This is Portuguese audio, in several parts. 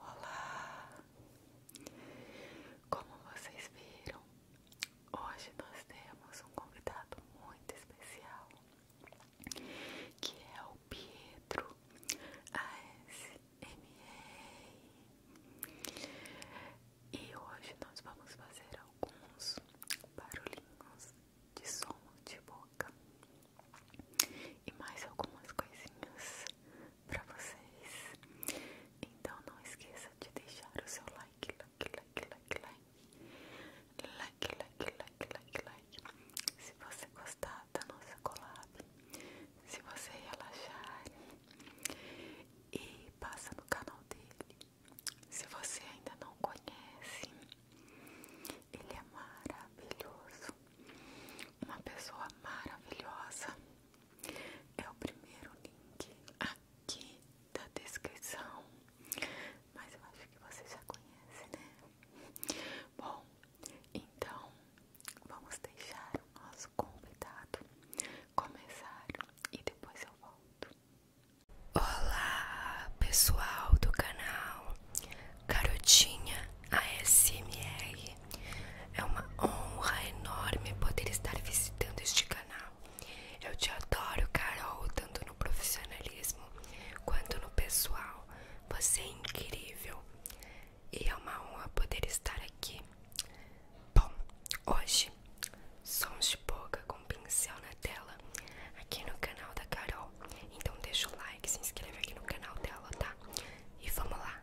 Olá! Como vocês viram, hoje nós temos um convidado muito especial que é o Pietro ASMR. E hoje nós vamos fazer alguns barulhinhos de som de boca e mais algumas coisinhas para vocês. Então não esqueça de deixar o seu like, like, like, like, like, like, like, like, like, like. Se você gostar da nossa colab. Se você relaxar e passa no canal dele. Se você ainda não conhece, ele é maravilhoso. Uma pessoa maravilhosa. É o primeiro link aqui da descrição. Mas eu acho que você já conhece, né? Bom, então, vamos deixar o nosso convidado começar e depois eu volto. Olá, pessoal do canal Carotinha ASMR. É uma honra enorme poder estar visitando este canal. Eu te adoro, Carol, tanto no profissionalismo quanto no pessoal. Você é incrível e é uma honra poder estar aqui. Bom, hoje, sons de boca com pincel na tela, aqui no canal da Carol. Então deixa o like, se inscreve aqui no canal dela, tá? E vamos lá!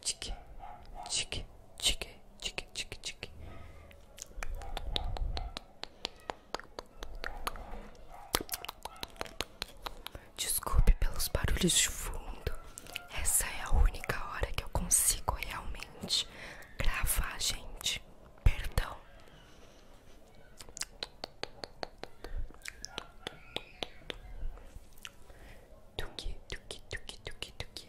tique, tique, tique, tique, tique, tique. Desculpe pelos barulhos de fundo. Essa é a única hora que eu consigo realmente gravar, gente. Perdão. Tuki, tuki, tuki, tuki, tuki.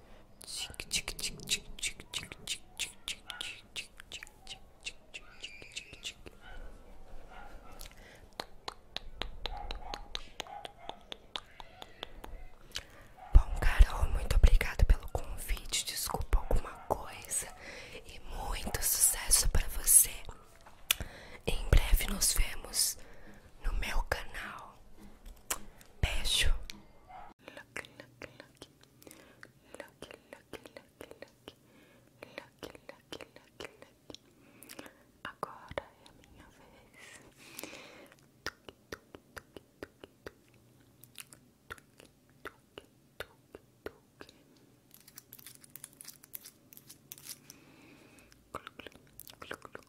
Bom, Carol, muito obrigada pelo convite. Desculpa alguma coisa. E muito sucesso para você. Em breve nos vemos no meu canal. Beijo. Look, look, look. Look, look, look, look. Look, look, look, look. Agora é a minha vez. Tuque, tuque, tuque, tuque, tuque. Tuque, tuque, tuque, tuque. Clu, clu, clu, clu,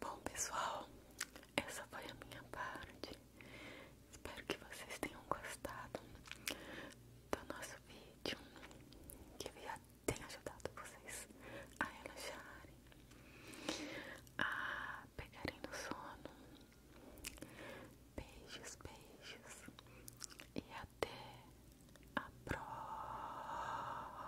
Bom, pessoal, essa foi a minha parte. Espero que vocês tenham gostado do nosso vídeo. Que viagem! tenha ajudado vocês a relaxarem, a pegarem no sono. Beijos, beijos e até a próxima.